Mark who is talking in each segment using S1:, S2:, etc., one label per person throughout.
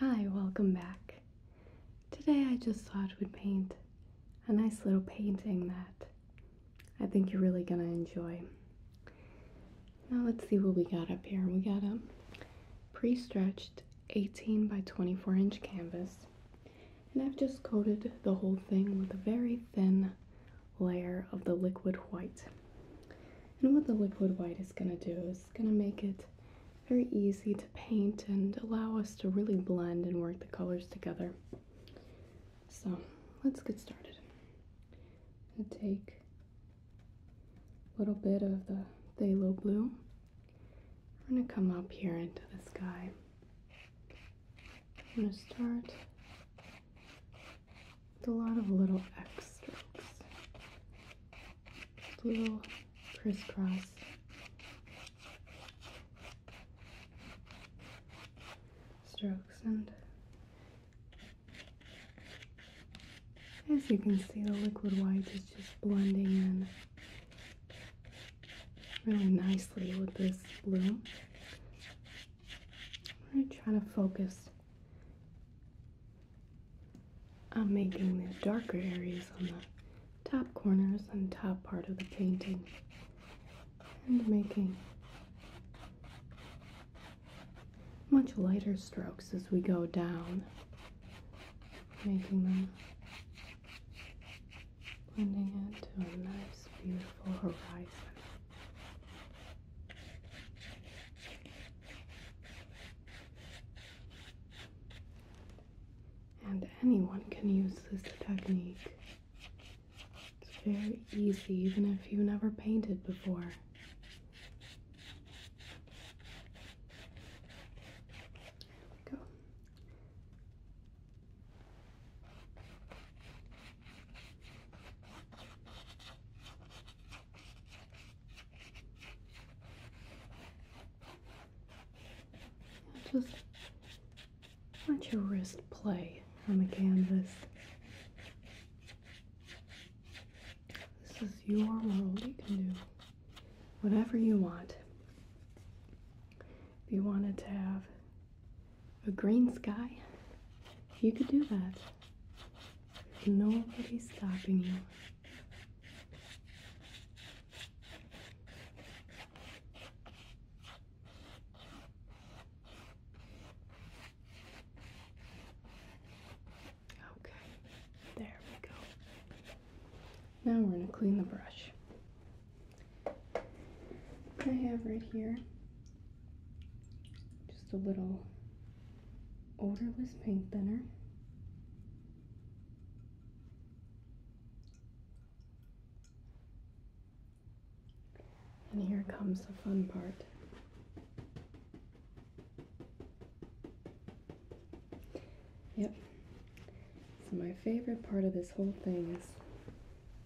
S1: Hi, welcome back. Today I just thought we'd paint a nice little painting that I think you're really gonna enjoy. Now let's see what we got up here. We got a pre-stretched 18 by 24 inch canvas and I've just coated the whole thing with a very thin layer of the liquid white. And what the liquid white is gonna do is is going to make it very easy to paint and allow us to really blend and work the colors together. So let's get started. going to take a little bit of the phthalo blue. We're going to come up here into the sky. I'm going to start with a lot of little X strokes. Little crisscross. Strokes and as you can see the liquid white is just blending in really nicely with this blue. I'm going to to focus I'm making the darker areas on the top corners and top part of the painting and making much lighter strokes as we go down, making them blending into a nice, beautiful horizon. And anyone can use this technique. It's very easy, even if you never painted before. go. Just let your wrist play on the canvas. This is your world. You can do whatever you want. If you wanted to have a green sky, you could do that. Nobody's stopping you. Okay, there we go. Now we're going to clean the brush. I have right here just a little odorless paint thinner. And here comes the fun part. Yep. So my favorite part of this whole thing is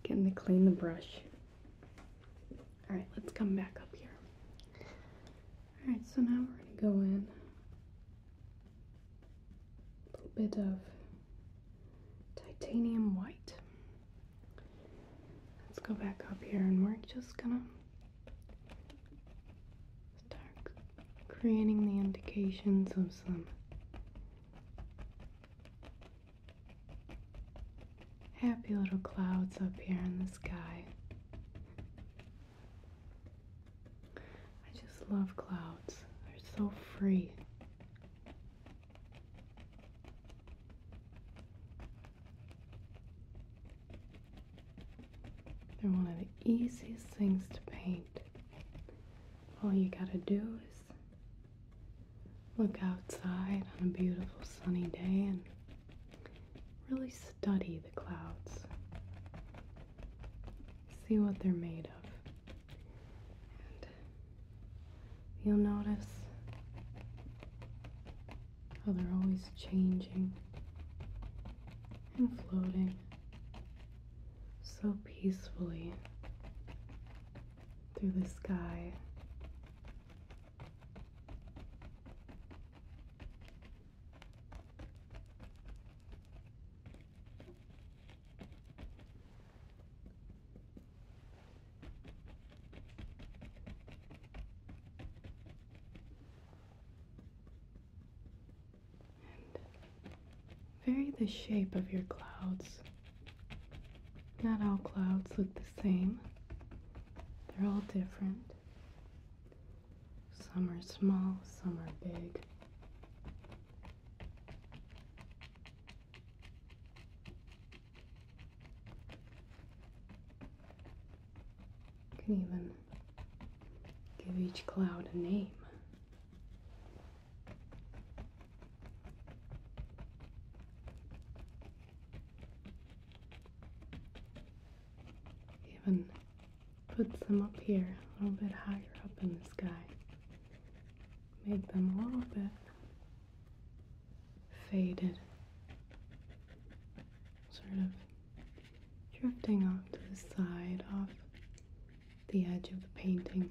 S1: getting to clean the brush. Alright, let's come back up here. Alright, so now we're going to go in a little bit of titanium white. Let's go back up here and we're just gonna start creating the indications of some happy little clouds up here in the sky. I just love clouds. They're so free. They're one of the easiest things to paint. All you gotta do is look outside on a beautiful sunny day and really study the clouds see what they're made of. you'll notice how they're always changing and floating so peacefully through the sky vary the shape of your clouds. Not all clouds look the same, they're all different. Some are small, some are big. You can even give each cloud a name. Even put some up here, a little bit higher up in the sky. Make them a little bit faded, sort of drifting off to the side, off the edge of the painting.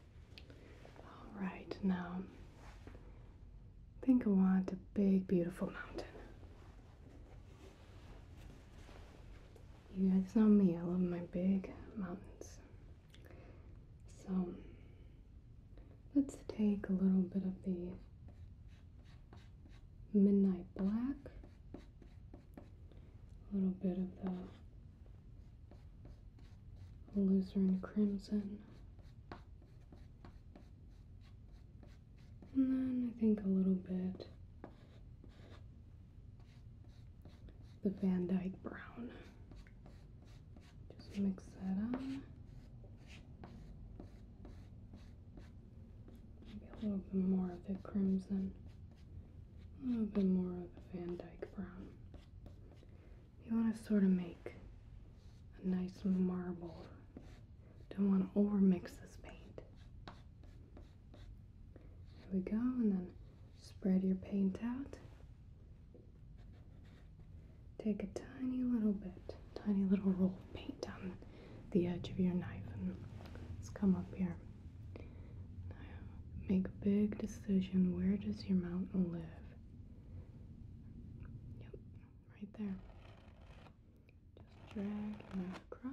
S1: All right, now think I want a big, beautiful mountain. You guys know me, I love my big mountains. So let's take a little bit of the midnight black, a little bit of the Loser Alizarin Crimson. And then I think a little bit the Van Dyke Brown. Just mix that up. Maybe a little bit more of the crimson. A little bit more of the Van Dyke Brown. You want to sort of make a nice marble. Don't want to overmix this paint. There we go, and then spread your paint out. Take a tiny little bit, tiny little roll of paint on the edge of your knife, and let's come up here. Now, make a big decision. Where does your mountain live? Yep, right there. Just drag and across.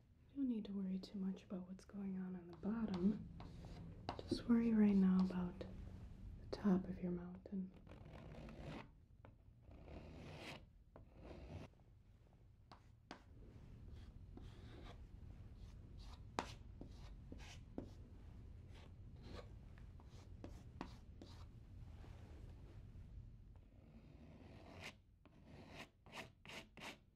S1: You don't need to worry too much about what's going on on the bottom. Just worry right now about the top of your mountain.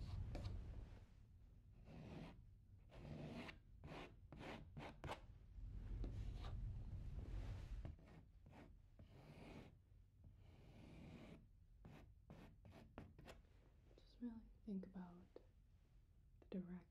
S1: Just really think about the direction.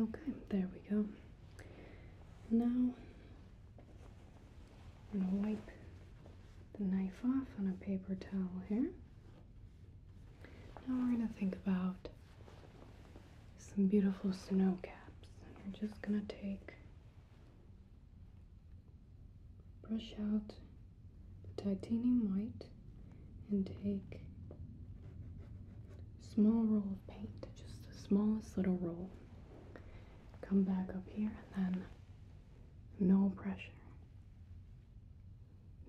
S1: Okay, there we go. Now I'm gonna wipe the knife off on a paper towel here. Now we're gonna think about some beautiful snow caps. And we're just gonna take Brush out the titanium white and take a small roll of paint, just the smallest little roll. Come back up here and then no pressure.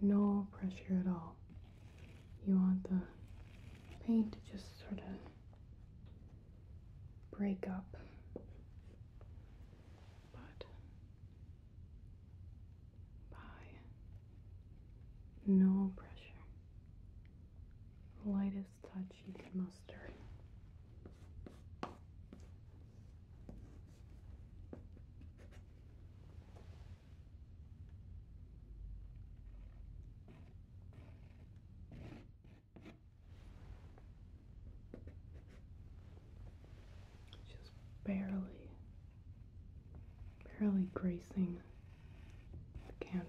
S1: No pressure at all. You want the paint to just sort of break up but by no pressure, lightest touch you can muster. Just barely, barely gracing the canvas.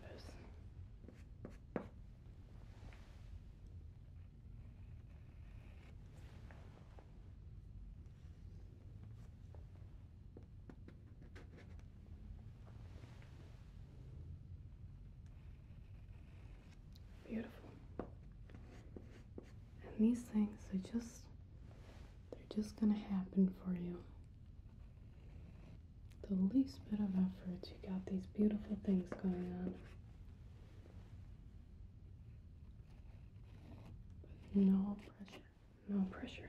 S1: Beautiful. And these things are just they're just gonna happen for you. The least bit of effort, you got these beautiful things going on. no pressure, no pressure.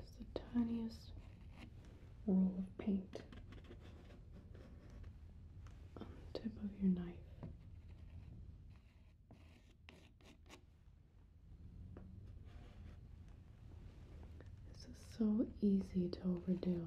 S1: Just the tiniest roll of paint on the tip of your knife. This is so easy to overdo.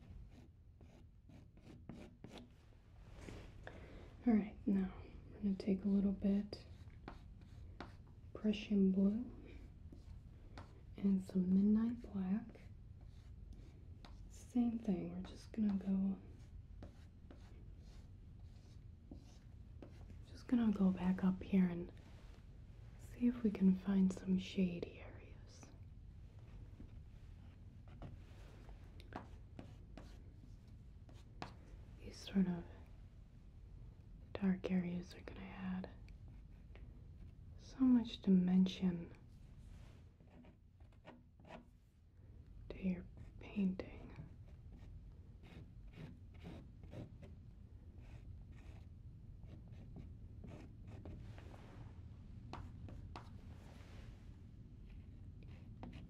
S1: All right, now I'm going to take a little bit Prussian blue and some midnight black. Same thing, we're just going to go just going to go back up here and see if we can find some shady areas. These sort of dark areas are going to add so much dimension to your painting. You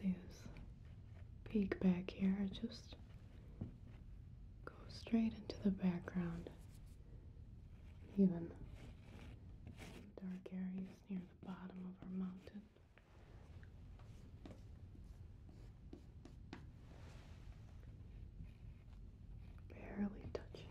S1: can see this peak back here. just go straight into the background. Even dark areas near the bottom of our mountain. Barely touching.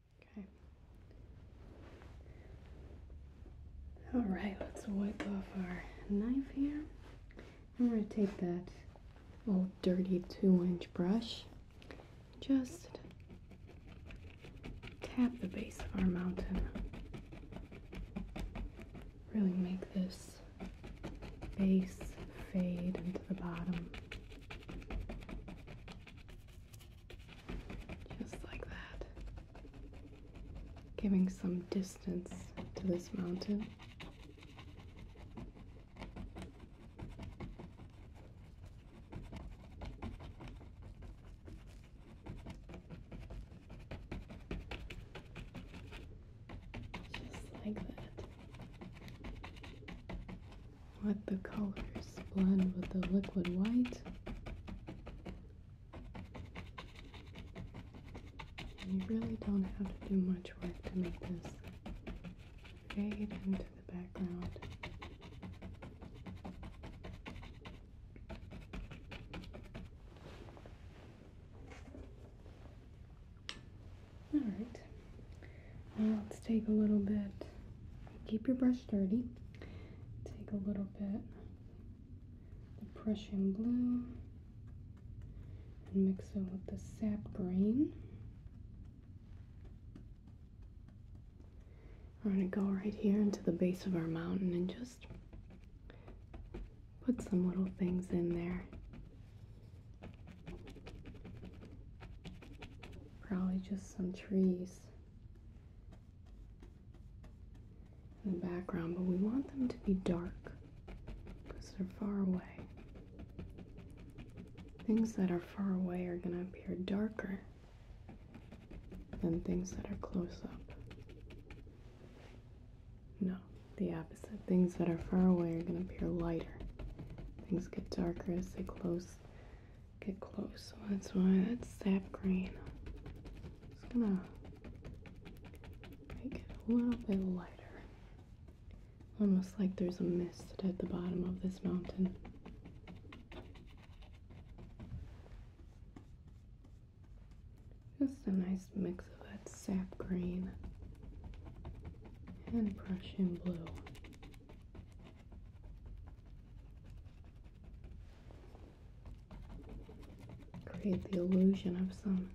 S1: Okay. All right, let's wipe off our knife here. I'm going to take that old dirty two inch brush, just tap the base of our mountain. Really make this base fade into the bottom. Just like that. Giving some distance to this mountain. Just like that. Let the colors blend with the liquid white. And you really don't have to do much work to make this fade into the background. Alright, let's take a little bit, keep your brush dirty, take a little bit the Prussian blue and mix it with the sap green. We're going to go right here into the base of our mountain and just put some little things in there. Probably just some trees in the background, but we want them to be dark because they're far away. Things that are far away are going to appear darker than things that are close up. No, the opposite. Things that are far away are going to appear lighter. Things get darker as they close get close. So that's why that's sap green. Just gonna make it a little bit lighter. Almost like there's a mist at the bottom of this mountain. Just a nice mix of that sap green and Prussian blue create the illusion of some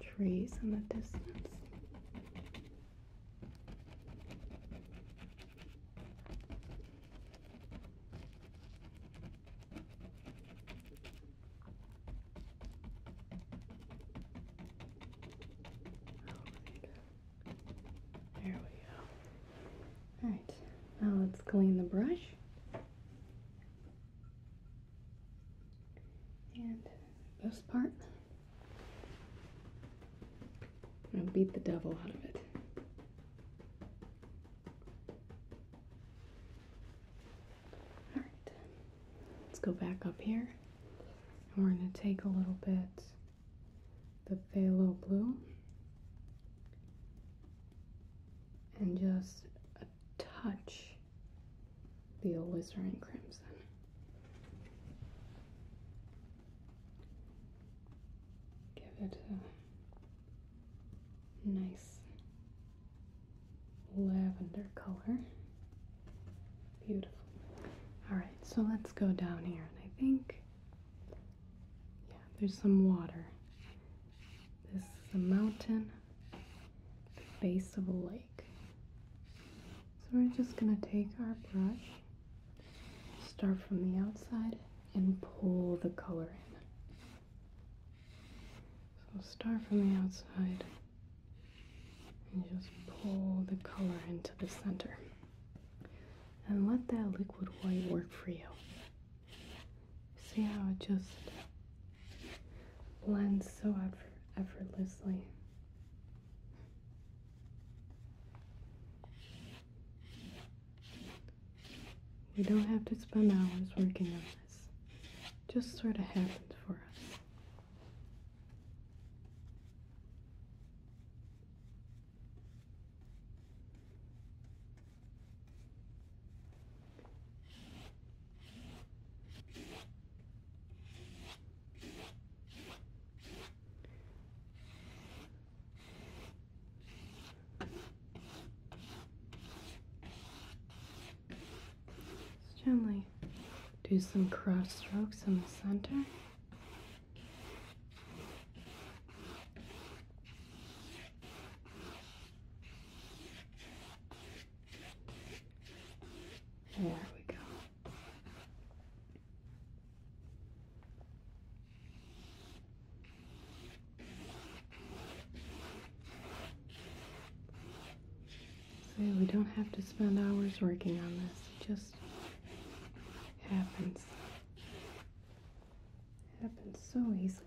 S1: trees in the distance. There we go. All right, now let's clean the brush. And this part, i will beat the devil out of it. All right, let's go back up here. we're gonna take a little bit the phthalo blue and just a touch the alizarin crimson. Give it a nice lavender color. Beautiful. Alright, so let's go down here, and I think yeah, there's some water. This is a mountain, the base of a lake. So we're just going to take our brush, start from the outside, and pull the color in. So start from the outside and just pull the color into the center and let that liquid white work for you. See how it just blends so effort effortlessly. We don't have to spend hours working on this. just sort of happens for us. Just gently do some cross strokes in the center. There we go. So we don't have to spend hours working on this. It just happens. It happens so easily.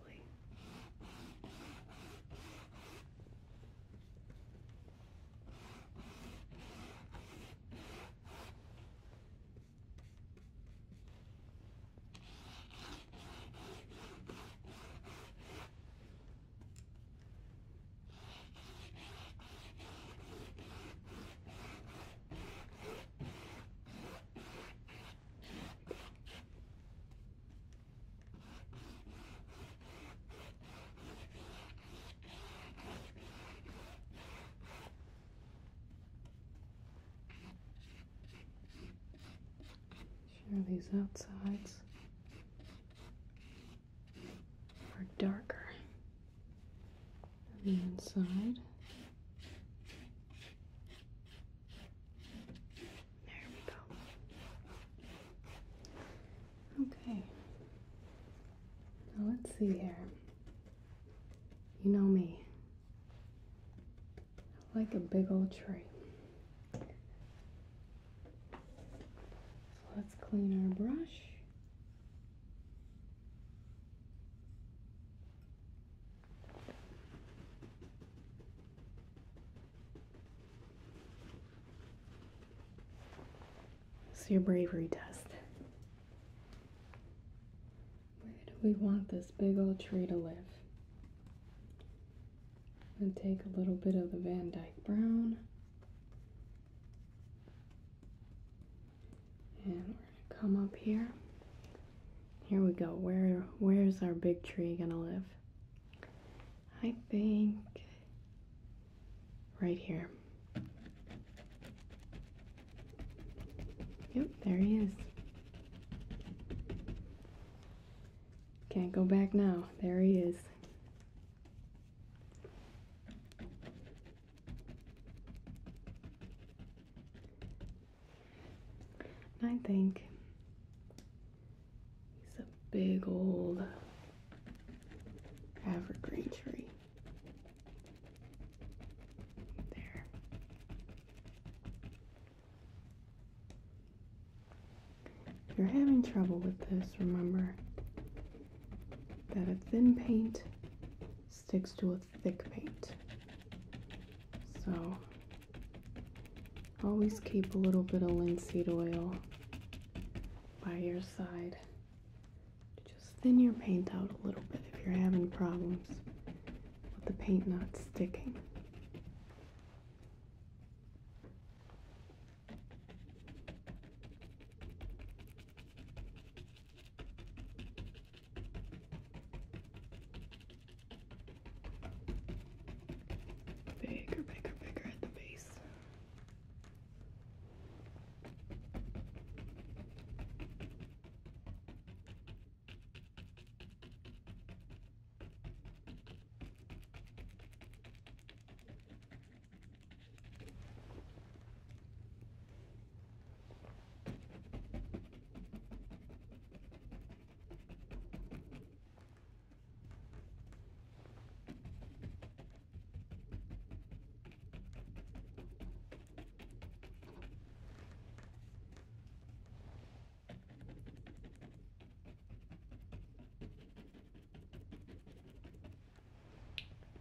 S1: Sure, these outsides are darker the inside. There we go. Okay. Now let's see here. You know me. I like a big old tree. let's clean our brush. It's your bravery test. Where do we want this big old tree to live? And take a little bit of the Van Dyke Brown and we're gonna come up here. Here we go. Where where's our big tree gonna live? I think right here. Yep, there he is. Can't go back now. There he is. And I think he's a big old evergreen tree. There. If you're having trouble with this, remember that a thin paint sticks to a thick paint. So always keep a little bit of linseed oil by your side to just thin your paint out a little bit if you're having problems with the paint not sticking. Bigger, bigger, bigger at the base.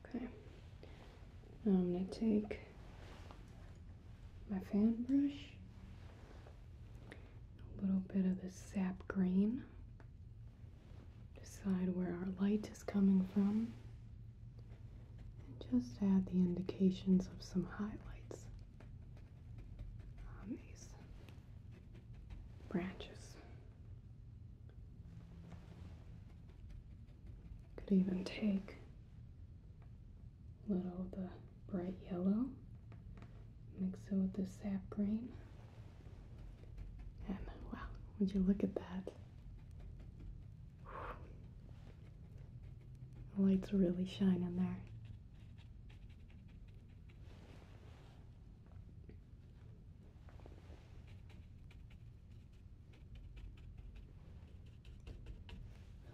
S1: Okay, I'm going to take my fan brush, a little bit of the sap green. Decide where our light is coming from, and just add the indications of some highlights on these branches. Could even take a little of the bright yellow, mix it with the sap green, and wow, would you look at that? The light's really shining there.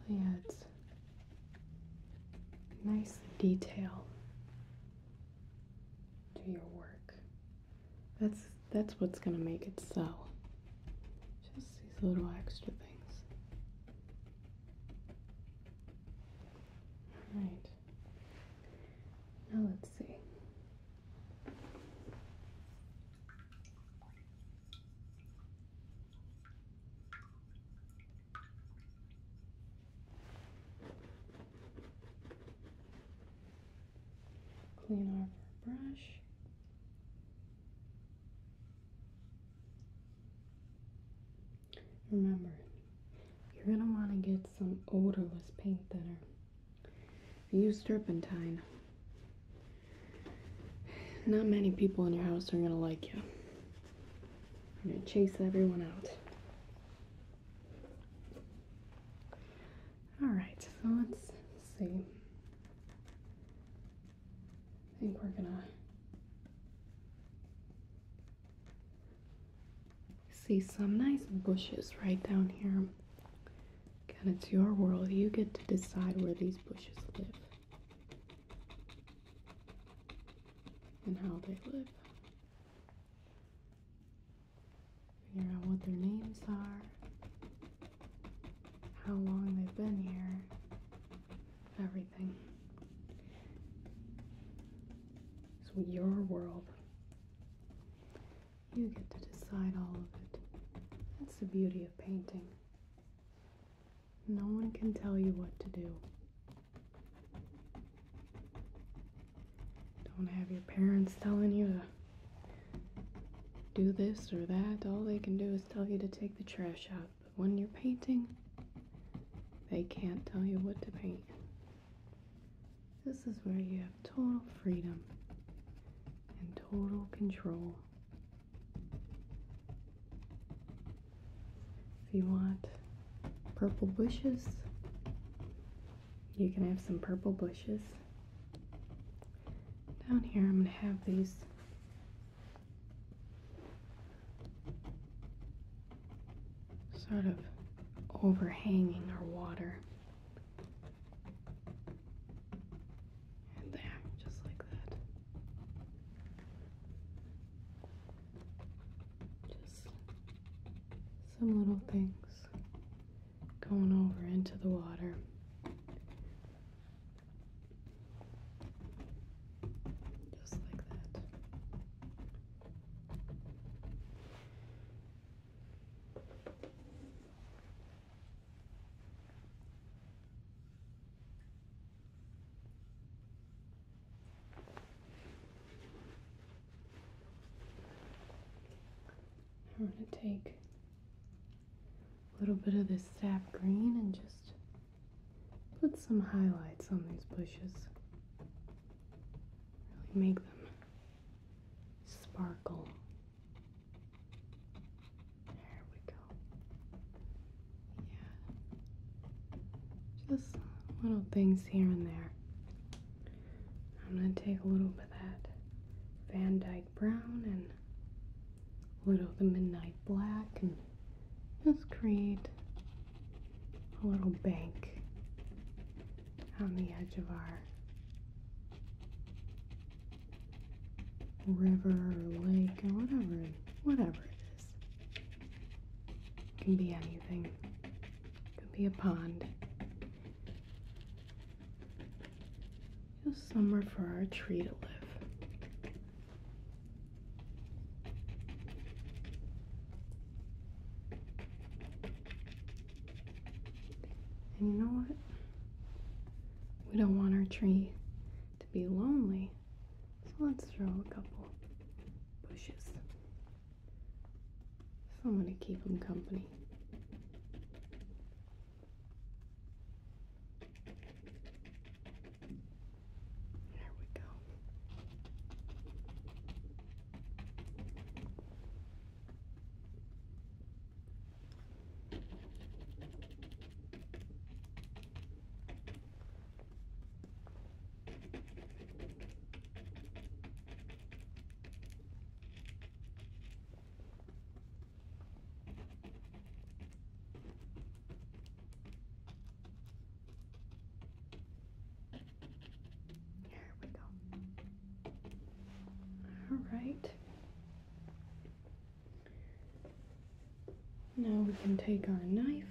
S1: Really oh, adds nice detail to your work. That's that's what's gonna make it sell. Just these little extra things. Alright. Now let's see. Clean off our brush. Remember, you're going to want to get some odorless paint thinner. Use turpentine. Not many people in your house are gonna like you. You're gonna chase everyone out. Alright, so let's see. I think we're gonna see some nice bushes right down here. And it's your world. You get to decide where these bushes live and how they live. Figure out what their names are, how long they've been here, everything. It's your world. You get to decide all of it. That's the beauty of painting. No one can tell you what to do. Don't have your parents telling you to do this or that. All they can do is tell you to take the trash out. But when you're painting, they can't tell you what to paint. This is where you have total freedom and total control. If you want purple bushes, you can have some purple bushes. Down here, I'm going to have these sort of overhanging our water there, just like that. Just some little things going over into the water. Just like that. I'm going to take a little bit of this sap green and just put some highlights on these bushes. Really make them sparkle. There we go. Yeah. Just little things here and there. I'm going to take a little bit of that Van Dyke Brown and a little of the Midnight Black and just create a little bank on the edge of our river or lake or whatever, whatever can be anything. It could be a pond. Just somewhere for our tree to live. And you know what? We don't want our tree to be lonely. So let's throw a couple bushes. So I'm going to keep them company. There we go. There we go. All right. Now we can take our knife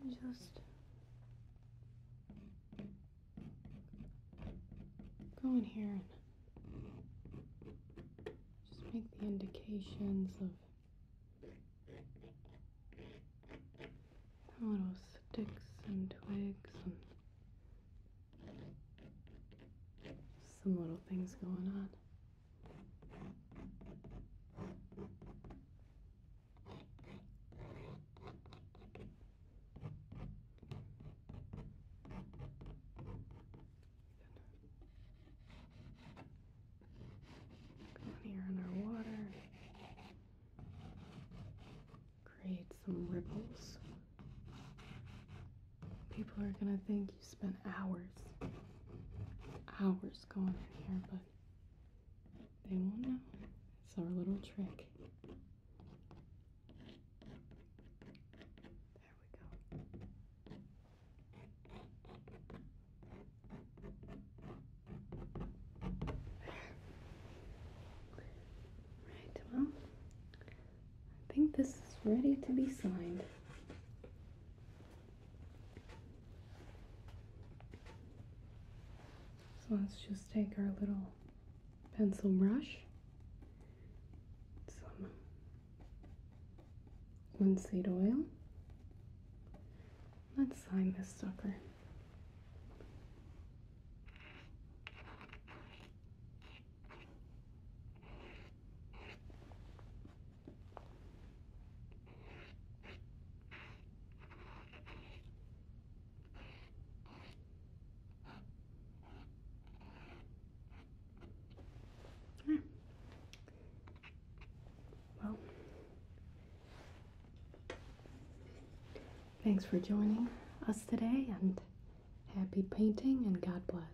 S1: and just go in here and just make the indications of little sticks and twigs and some little things going on. Come on here in our water. Create some ripples. People are gonna think you spent hours, hours going in here, but they won't know. It's our little trick. There we go. Right, well, I think this is ready to be signed. So let's just take our little pencil brush, some linseed oil. Let's sign this sucker. Well, thanks for joining us today and happy painting and God bless.